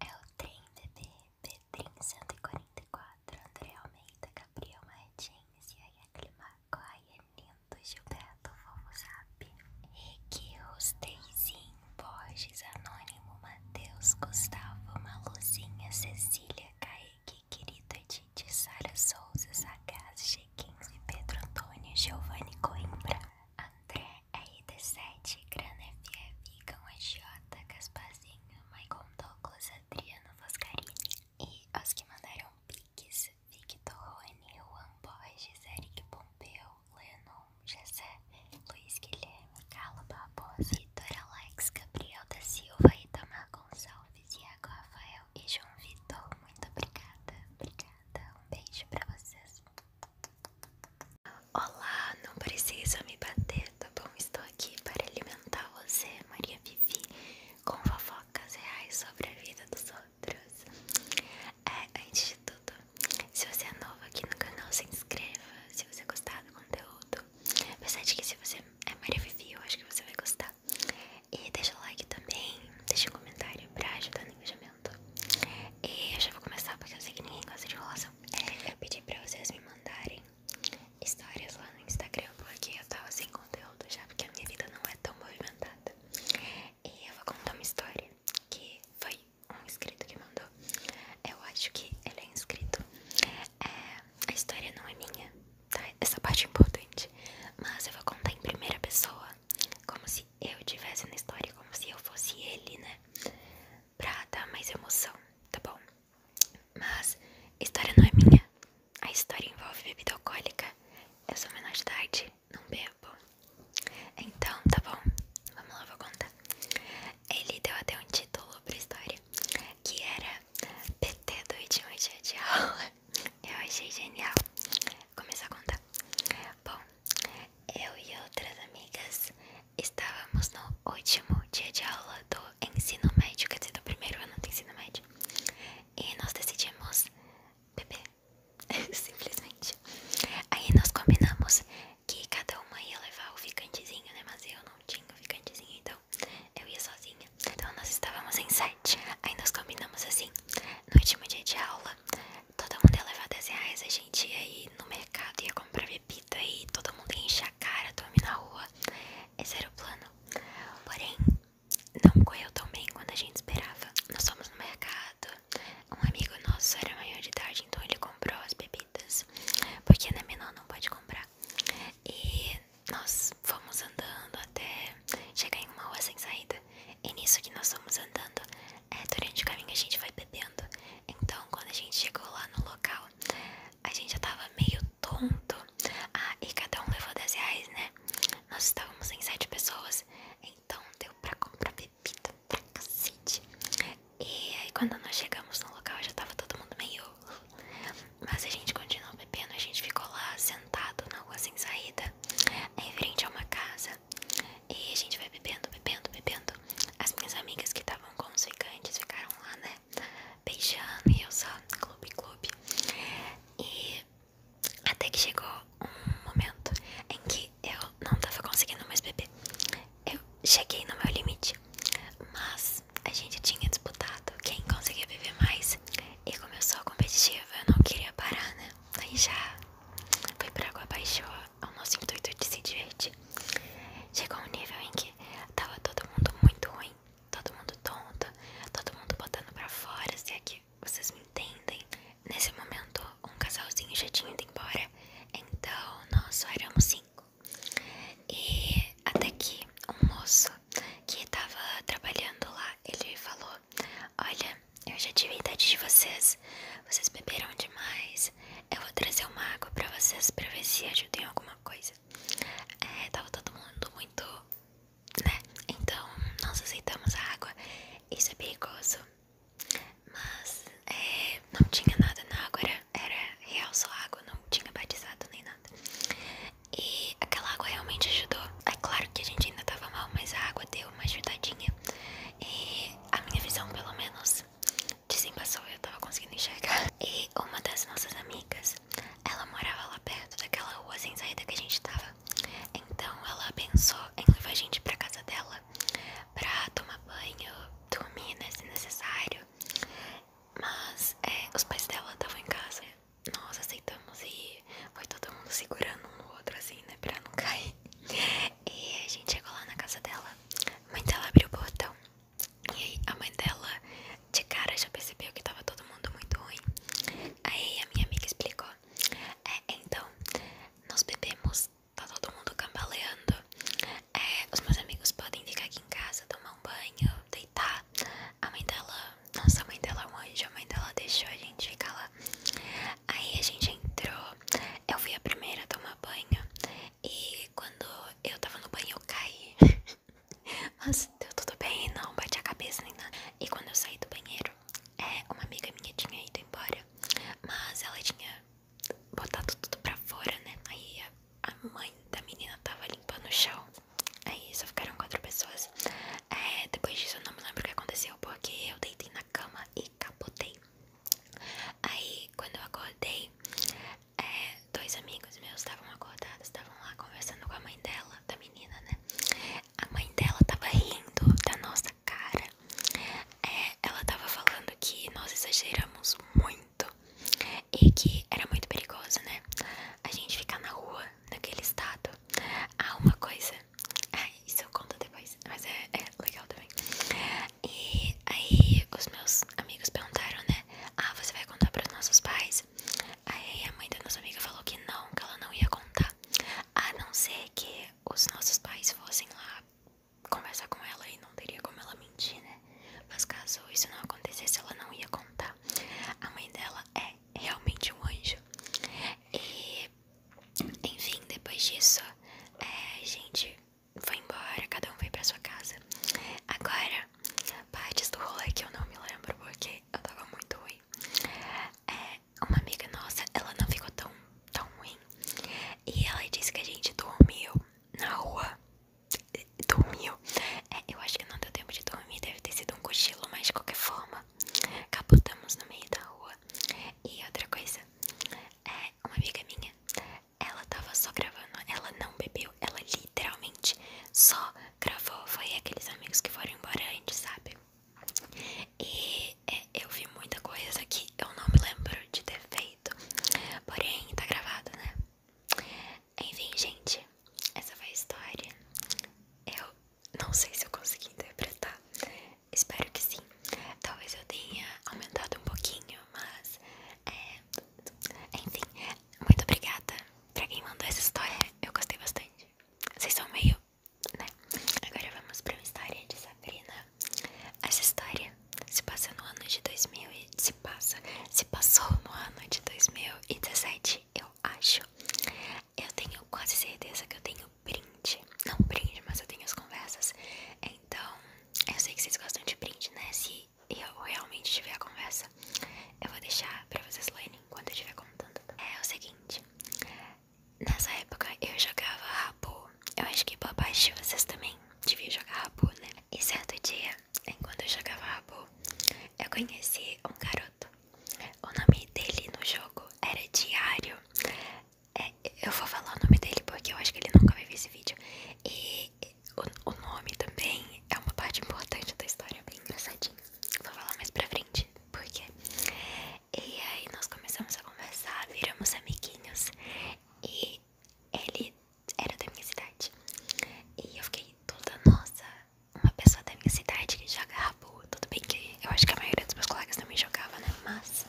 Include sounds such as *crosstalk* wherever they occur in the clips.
É o trem bebê Pedrinho 144, André Almeida, Gabriel Martins, Yaya Climaco, Aya é Lindo, Gilberto Fofozap, Rick, Rosteizinho, Borges, Anônimo, Matheus, Gustavo, Maluzinha, Cecília, Kaique, Querida, Edith, Sara Souza, Sagaz, 15, Pedro Antônio, Giovanni Coimbra, André RD7, Grana FF, Cão AJ, Gaspazinho, Maicon Douglas, Adriano Foscarini e os que mandaram piques, Victor Rony, Juan Borges, Eric Pompeu, Lenon, Jessé, Luiz Guilherme, Carlos Barbosa, Vitor Alex, Gabriel da Silva e Tamar Gonçalves. Alves, Iago, Rafael e João Vitor. Muito obrigada, obrigada. Um beijo pra vocês. Olá, não precisa me bater, tá bom? Estou aqui para alimentar você, Maria Vivi, com fofocas reais sobre a vida dos outros. É, antes de tudo, se você é novo aqui no canal, se inscreva. Se você gostar do conteúdo, apesar de que se você é Maria Vivi, eu acho que você vai gostar. E deixa o like também, deixa um comentário pra ajudar no engajamento. E eu já vou começar porque eu sei que ninguém gosta de enrolação. Eu pedi pra vocês me mandarem histórias lá no Instagram porque eu tava sem conteúdo já, porque a minha vida não é tão movimentada. E eu vou contar uma história que foi um inscrito que mandou. Eu acho que ele é inscrito. É, a história não é minha, essa parte é importante. Mas eu vou contar em primeira pessoa, como se eu tivesse na história, como se eu fosse ele, né? Pra dar mais emoção, tá bom? Mas a história não é minha. A história envolve bebida alcoólica. Eu sou menor de idade, não bebo. Então, tá bom? Vamos lá, vou contar. Ele deu até um título pra história, que era PT do último é dia de aula. Eu achei genial. Vou começar a contar. Bom, eu e outras amigas estávamos no último dia de aula do ensino médio, quer dizer, do primeiro ano do ensino médio. E nós decidimos beber, *laughs* simplesmente. Aí nós combinamos que cada uma ia levar o ficantezinho, né? Mas eu não tinha o ficantezinho, então eu ia sozinha. Então nós estávamos em sete. Aí nós combinamos assim: no último dia de aula, todo mundo ia levar 10 reais. A gente ia ir no mercado, ia comprar bebida e todo mundo ia encher a cara, dormir na rua. Esse era o plano. Porém, não correu tão bem quanto a gente esperava. Nós fomos no mercado. Um amigo nosso era maior de idade, então ele comprou as bebidas. Porque na né, menor não pode comprar. E nós fomos andando até chegar em uma rua sem saída. E nisso que nós fomos andando, é, durante o caminho a gente vai bebendo. Então, quando a gente chegou lá no local, a gente já tava meio tonto. Ah, e cada um levou 10 reais, né? Nós estávamos em 7 pessoas, então deu pra comprar bebida pra cacete. E aí, quando nós chegamos no local, já tava todo mundo meio. Mas a gente continuou bebendo, a gente ficou lá sentado na rua sem saída, em frente a uma casa. E a gente vai bebendo, bebendo, bebendo. As minhas amigas que estavam com os ficantes ficaram lá, né? Beijando e eu só, clube, clube. E até que chegou um momento em que eu não tava conseguindo mais beber. Eu cheguei no meu limite. Mas a gente tinha disputado quem conseguia viver mais. E começou a competitiva, eu não queria parar, né? Aí já foi pra água baixou ao é nosso intuito de se divertir. Chegou um nível em que tava todo mundo muito ruim, todo mundo tonto, todo mundo botando pra fora, se aqui é vocês me entendem. Nesse momento, um casalzinho já tinha ido embora, então nós só éramos cinco. E até que um moço que estava trabalhando lá, ele falou: Olha, eu já tive idade de vocês, vocês beberam demais. Eu vou trazer uma água para vocês para ver se ajudem alguma coisa. É, tava todo mundo muito, né? Então nós aceitamos a água. Isso é perigoso. Mas é, não tinha nada na água, era real só água, não tinha batizado nem nada. E aquela água realmente ajudou. É claro que a gente ainda tava mal, mas a água deu uma ajudadinha. E a minha visão, pelo menos, de desembaçou, eu tava conseguindo enxergar. E uma das nossas amigas, ela morava lá perto daquela rua sem saída que a gente tava. Então ela pensou em levar a gente pra casa dela pra tomar banho, dormir né, se necessário. Mas é, os pais dela estavam em casa, nós aceitamos e foi todo mundo segurando um no outro assim, né? Pra não cair. E a gente chegou lá na casa dela, a mãe dela abriu o portão. E aí a mãe dela de cara já percebeu que tava todo mundo muito ruim. Aí a minha amiga explicou. É, então, nós bebemos, tá todo mundo cambaleando. É, os meus amigos podem ficar aqui em casa, tomar um banho, deitar. A mãe dela, nossa, mãe dela é um a mãe dela deixou a gente ficar lá. Aí a gente entrou, eu fui a primeira a tomar banho. E quando eu tava no banho, eu caí. Mas *laughs* deu tudo bem, não bati a cabeça nem nada. E quando eu saí do banheiro, é, uma amiga minha tinha ido embora, mas ela tinha botado tudo pra fora, né? Aí a mãe da menina tava limpando o chão. Aí é só ficaram quatro pessoas. É, depois disso eu não me lembro o que aconteceu, porque eu deitei na cama e capotei. Aí quando eu acordei, é, dois amigos meus estavam acordados, estavam lá conversando com a mãe dela, da menina, né? A mãe dela tava rindo da nossa cara. ela tava falando que nós exageramos muito e que era muito perigoso, né? A gente ficar na rua naquele estado. Ah, uma coisa. Ai, ah, isso eu conto depois, mas é, é legal também. E aí os meus amigos perguntaram, né? Ah, você vai contar para os nossos pais? Aí a mãe da nossa amiga falou que não, que ela não ia contar. A não ser que os nossos pais fossem lá conversar com ela e não teria como ela mentir, né? Mas caso isso não acontecesse, ela não ia contar. A mãe dela é realmente um anjo. E, enfim, depois disso, é, a gente foi embora, cada um foi pra sua casa. Agora, partes do rolê que eu não me lembro porque eu tava muito ruim. É, uma amiga nossa, ela não ficou tão, tão ruim. E ela disse que a gente dormiu na rua dormiu. É, eu acho que não deu tempo de dormir, deve ter sido um cochilo, mas de qualquer forma, capotamos no meio da rua. E outra coisa, é, uma amiga minha, ela tava só gravando, ela não bebeu, ela literalmente só gravou. Foi aqueles amigos que foram embora antes, sabe? E é, eu vi muita coisa aqui eu não me lembro de ter feito Porém, tá gravado, né? Enfim, gente, essa foi a história. Eu não sei se eu consegui interpretar. Espero que sim. Talvez eu tenha aumentado um pouquinho, mas. É... Enfim, muito obrigada pra quem mandou essa história. Eu gostei bastante. Vocês são meio. né? Agora vamos pra uma história de Sabrina essa história se passa no ano de 2000 e se passa, se passou no ano de 2017, eu acho. Eu tenho quase certeza que eu tenho print, não print, mas eu tenho as conversas. Então, eu sei que vocês gostam de print, né? Se eu realmente tiver a conversa, eu vou deixar pra vocês lerem enquanto eu estiver contando. É o seguinte, nessa época eu jogava eu acho que boa parte vocês também deviam jogar Rabu, né? E certo dia, enquanto eu jogava Rabu, eu conheci um garoto. O nome dele no jogo era Diário. É, eu vou falar o nome dele porque eu acho que ele nunca vai ver esse vídeo. E o, o nome também é uma parte importante da história, bem engraçadinho. Vou falar mais pra frente, porque. E aí nós começamos a conversar, viramos amiguinhos. E ele era da minha cidade. E eu fiquei toda, nossa, uma pessoa da minha cidade que joga rabo. Tudo bem que eu acho que a maioria dos meus colegas também jogava, né? Mas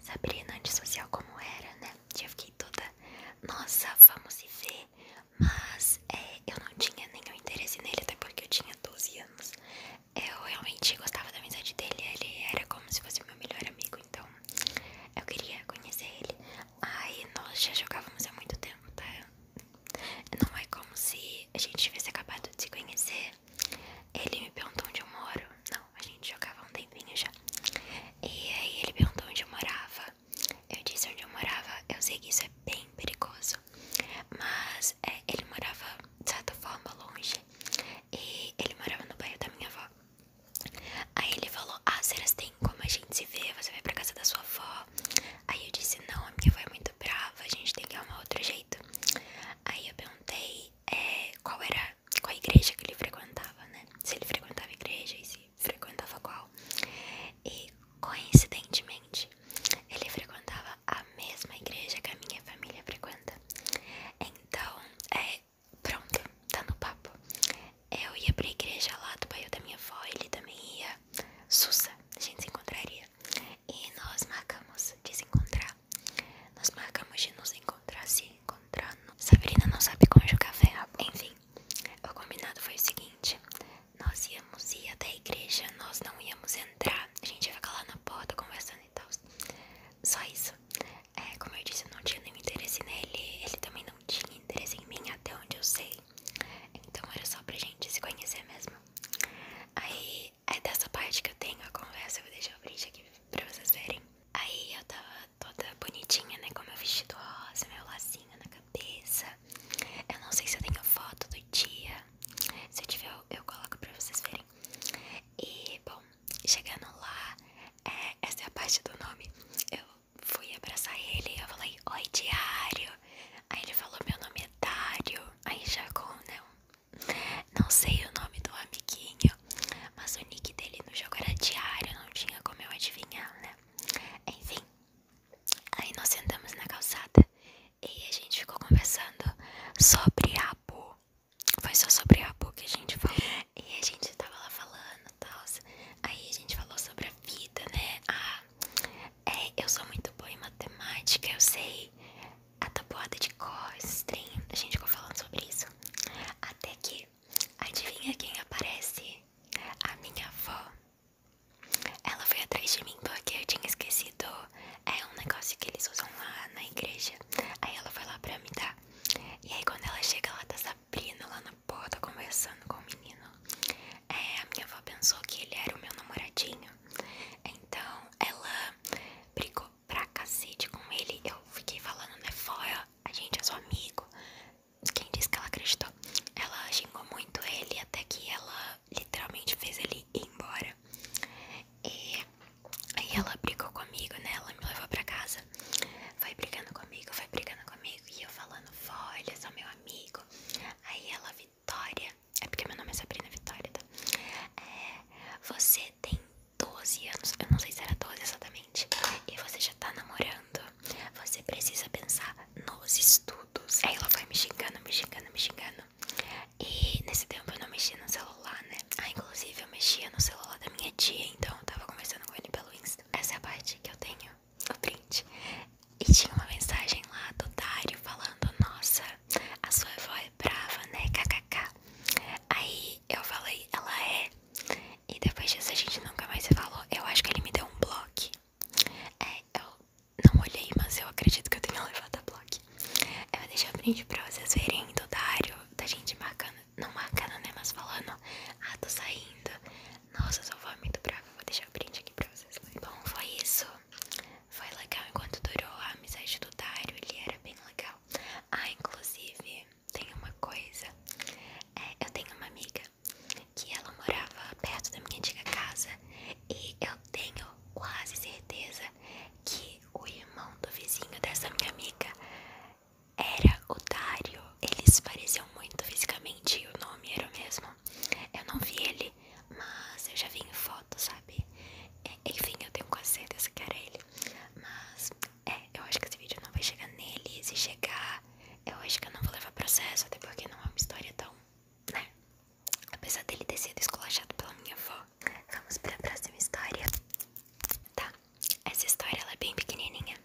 Sabrina, antissocial como era, né? E eu fiquei toda, nossa, vamos se ver. Mas é, eu não tinha nenhum interesse nele, até porque eu tinha 12 anos. Eu realmente gostava da amizade dele, ele era como se fosse meu melhor amigo, então eu queria conhecer ele. Ai, nós já jogávamos há muito tempo, tá? Não é como se a gente tivesse acabado de se conhecer. Ele me perguntou onde eu moro. Não, a gente jogava um tempinho já. E aí ele perguntou onde eu morava. Eu disse onde eu morava. Eu sei que isso é bem perigoso. Mas é, ele morava de certa forma longe. E ele morava no bairro da minha avó. Aí ele falou: Ah, será que tem como a gente se ver? Você vai pra casa da sua avó? Aí eu disse: Não, a minha avó é muito brava, a gente tem que ir arrumar outro jeito. Aí eu perguntei é, qual era qual igreja que ele frequentava, né? Se ele frequentava igreja e se frequentava qual. E coincidentemente, ele frequentava a mesma igreja que a minha família frequenta. Então, é, pronto, tá no papo. Eu ia pra igreja lá do bairro da minha avó, ele também ia. Sussa, a gente se encontraria. E nós marcamos de se encontrar. Nós marcamos de nos encontrar, se encontrando Sabrina não sabe conjugar verbo. Enfim, o combinado foi o seguinte: nós íamos ir até a igreja, nós não íamos entrar. A gente ia ficar lá na porta conversando e tal. Só isso. É, como eu disse, eu não tinha nenhum interesse nele, ele também não tinha interesse em mim, até onde eu sei. Então era só pra gente se conhecer mesmo. Aí é dessa parte que eu tenho a conversa, eu vou deixar o print aqui pra vocês verem. Aí eu tava toda bonitinha, né? Com meu vestido rosa, meu lacinho na cabeça. Eu não sei se eu tenho foto do dia. Se eu tiver, eu, eu coloco pra vocês verem. E bom, chegando lá, é, essa é a parte do nome. Eu fui abraçar ele e eu falei, oi diário. Aí ele falou, meu nome é Diário Aí já com, né? Não sei o nome do amiguinho, mas o nick dele no jogo era diário, não tinha como eu adivinhar, né? Enfim, aí nós sentamos na calçada e a gente ficou conversando sobre Abu. Foi só sobre a Abu que a gente falou. E a gente tava lá falando e tal. Aí a gente falou sobre a vida, né? Ah, eu sou muito boa em matemática, eu sei a tabuada de cor, esses trem. A gente ficou falando sobre isso. Até que, adivinha quem aparece? A minha avó. Ela foi atrás de mim porque eu tinha esquecido é um negócio que eles usam lá na igreja. Aí ela foi lá pra me dar. E aí quando ela chega, ela tá Sabrina lá na porta conversando com o menino. É, a minha avó pensou que ele era o meu namoradinho. Então ela brigou pra cacete com ele. Eu fiquei falando, né? Fora, a gente é seu amigo. Quem disse que ela acreditou? Ela xingou muito ele até que ela literalmente fez ele ir embora. E Aí ela brigou comigo, né? Ela me levou pra casa. Foi brigando comigo, foi brigando comigo. E eu falando, vó, ele é só meu amigo. Aí ela, Vitória. É porque meu nome é Sabrina Vitória, tá? É, você tem 12 anos. Eu não sei se era 12 exatamente. E você já tá namorando. Você precisa pensar nos estudos. Aí ela foi me xingando, me xingando, me xingando. E nesse tempo eu não mexia no celular, né? Ah, inclusive eu mexia no celular da minha tia, então tava conversando com ele pelo Insta. Essa é a parte que eu tenho o print. E tinha uma mensagem lá do Dario falando: Nossa, a sua avó é brava, né? KKK. Aí eu falei: Ela é. E depois disso a gente nunca mais se falou. Eu acho que ele me deu um bloco. É, eu não olhei, mas eu acredito que eu tenha levado a bloco. Eu vou deixar o print pra vocês verem do Dário, da gente marcando, não marcando, né? Mas falando, ah, tô saindo. Nossa, eu sou vó muito brava. Vou deixar o print aqui pra vocês. Bom, foi isso. Foi legal enquanto durou a amizade do Dário. Ele era bem legal. Ah, inclusive, tem uma coisa. É, eu tenho uma amiga que ela morava perto da minha antiga casa. E eu tenho quase certeza que o irmão do vizinho dessa minha amiga era otário. Eles pareciam muito fisicamente, o nome era o mesmo. Eu não vi ele, mas eu já vi em foto, sabe? É, enfim, eu tenho quase certeza que era ele. Mas, é, eu acho que esse vídeo não vai chegar nele. Se chegar, eu acho que eu não vou levar processo, até porque não é uma história tão, né? Apesar dele ter sido esculachado pela minha avó. Vamos para a próxima história. Tá, essa história ela é bem pequenininha,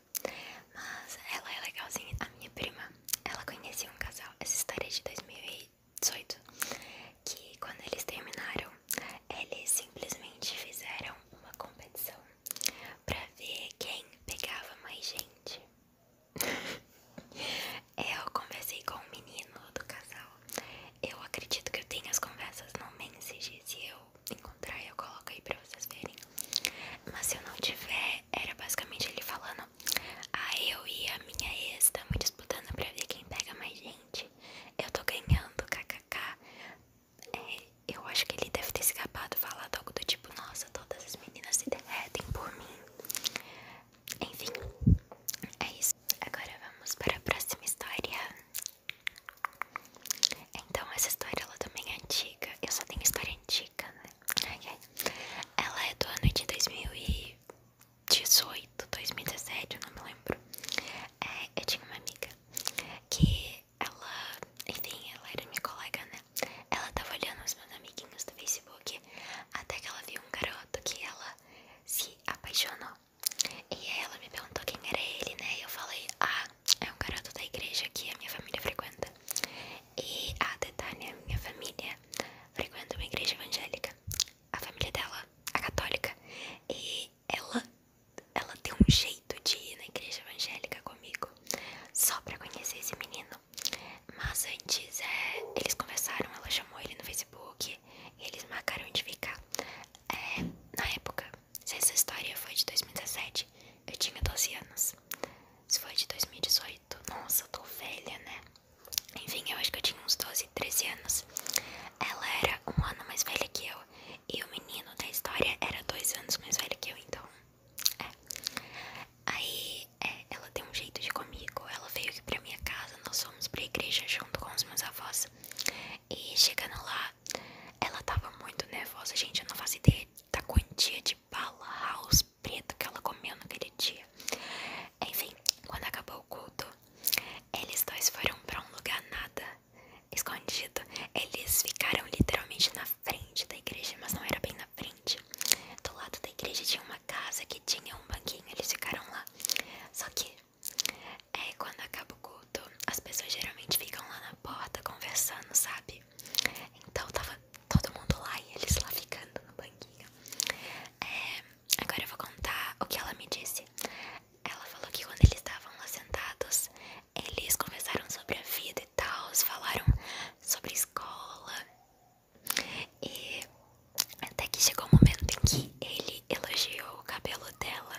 mas ela é legalzinha. A minha prima, ela conhecia um casal, essa história é de 2018, que quando eles terminaram, eles simplesmente fizeram uma competição pra ver quem pegava mais gente. *laughs* É, eu conversei com o menino do casal. Eu acredito que eu tenho as conversas no Message. Se eu encontrar, eu coloco aí pra vocês verem. Mas se eu não tiver, era basicamente ele falando: Ah, eu e a minha ex estamos disputando pra ver quem pega mais gente. Eu tô ganhando, kkk. É, eu acho que ele deve ter escapado falado algo do tipo: Nossa, todas as meninas se derretem por mim. Enfim, é isso. Agora vamos para a próxima história. Então, essa história ela também é antiga. Eu só tenho história antiga, né? Ela é do ano de 2018, 2017, eu não me lembro. É, eu tinha uma amiga que ela, enfim, ela era minha colega, né? Ela tava olhando os meus amiguinhos do Facebook até que ela viu um garoto que ela se apaixonou. E ela me perguntou quem era ele, né? E eu falei: Ah, é um cara do da igreja que a minha família frequenta. E a ah, detalhe a minha família, frequenta uma igreja evangélica. A família dela, a católica. E ela, ela tem um jeito de ir na igreja evangélica comigo. Só pra conhecer esse menino. Mas antes, é, eles conversaram, ela chamou ele no Facebook e eles marcaram onde ficar. É, na época, se essa história foi de 2017, eu tinha 12 anos. Se foi de 2018, nossa, tô velha, né? Enfim, eu acho que eu tinha uns 12, 13 anos. Ela era um ano mais velha que eu. E o menino da história era dois anos mais velho que eu, então. É. Aí é, ela tem um jeito de comigo. Ela veio aqui pra minha casa, nós fomos pra igreja junto com os meus avós. E chegando lá, ela tava muito nervosa, gente. Eu não faço ideia da quantia de bala house preta que ela comeu naquele dia. Enfim, quando acabou o culto, eles dois foram pra um lugar nada escondido. Eles ficaram literalmente na frente da igreja, mas não era bem na frente do lado da igreja tinha uma casa que tinha um banquinho, eles ficaram lá. Só que é quando acaba o culto, as pessoas geralmente ficam lá na porta conversando, sabe? Então tava todo mundo lá e eles lá ficando no banquinho. É, agora eu vou contar o que ela me disse. Ela falou que quando eles estavam lá sentados, eles conversaram sobre a vida e tal, falaram sobre escola, e até que chegou o momento em que ele elogiou o cabelo dela.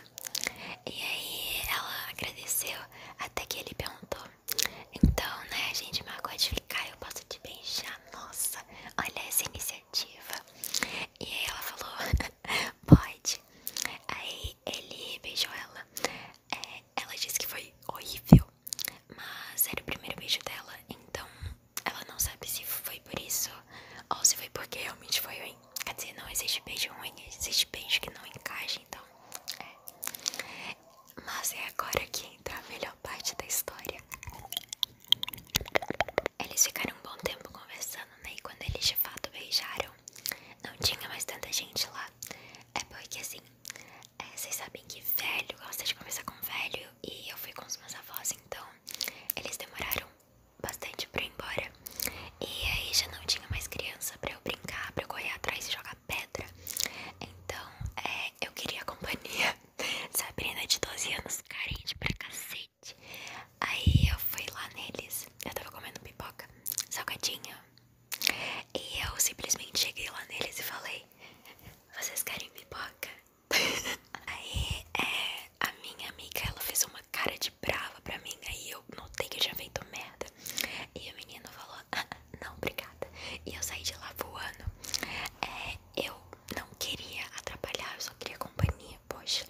E aí ela agradeceu até que ele perguntou. Então, né, gente me de ficar, eu posso te beijar. Nossa, olha essa iniciativa. E aí ela falou, *laughs* pode. Aí ele beijou ela. É, ela disse que foi horrível. Mas era o primeiro beijo dela, então ela não sabe se foi por isso ou se foi porque realmente foi ruim. Quer dizer, não existe beijo ruim, existe beijo que não encaixa, então é. Mas é agora que entra a melhor parte da história. Eles ficaram um bom tempo conversando, né? E quando eles de fato beijaram, não tinha mais tanta gente lá. É porque assim, é, vocês sabem que velho eu gosto de conversar com velho e eu fui com os meus avós, então eles demoraram bastante pra ir embora. E aí já não tinha mais criança pra eu brincar, pra eu correr atrás e jogar pedra. Então é, eu queria a companhia. *laughs* Sabrina de 12 anos, carente pra cacete. Aí eu fui lá neles, eu tava comendo pipoca, salgadinha. E eu simplesmente cheguei lá neles e falei: vocês querem pipoca? *laughs* Aí é, a minha amiga ela fez uma cara de brava pra mim. Aí eu notei que já feito merda. E o menino falou: ah, Não, obrigada. E eu saí de lá voando. É, eu não queria atrapalhar, eu só queria companhia. Poxa.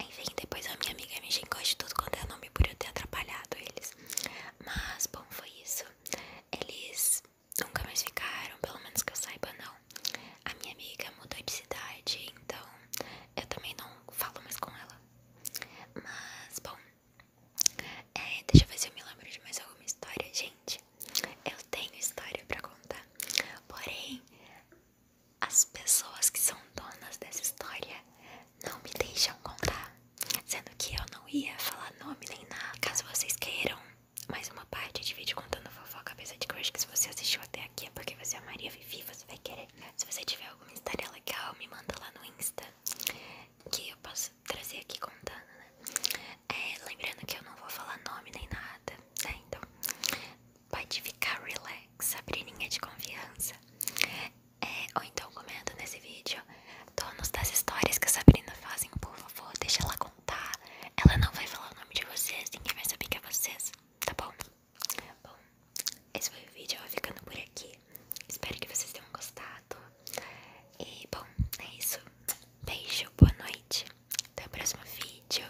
Enfim, depois a minha amiga me xingou de tudo quanto é nome por eu ter atrapalhado eles. Mas, bom, foi isso. Eles nunca mais ficaram, pelo menos que eu saiba, não. A minha amiga mudou de cidade, então eu também não falo mais com ela. Mas, bom, é, deixa eu ver se eu me lembro de mais alguma história. Gente, eu tenho história pra contar, porém, as pessoas que são donas dessa história não me deixam contar tá? Sendo que eu não ia falar nome nem nada. Caso vocês queiram mais uma parte de vídeo contando fofoca, cabeça de que que se você assistiu até aqui é porque você é Maria Vivi, você vai querer. Se você tiver alguma história legal, me manda lá no Insta, que eu posso trazer aqui contando, né? É, lembrando que eu não vou falar nome nem nada, né? Então, pode ficar relax, a de confiança. É, ou então comenta nesse vídeo donos das histórias que a Sabrina fazem, por favor, deixa ela contar. Ela não vai falar o nome de vocês, ninguém vai saber que é vocês, tá bom? Bom, esse foi o vídeo, eu vou ficando por aqui. Espero que vocês tenham gostado. E bom, é isso. Beijo, boa noite. Até o próximo vídeo.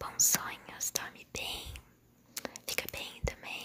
Bons sonhos, dorme bem. Fica bem também.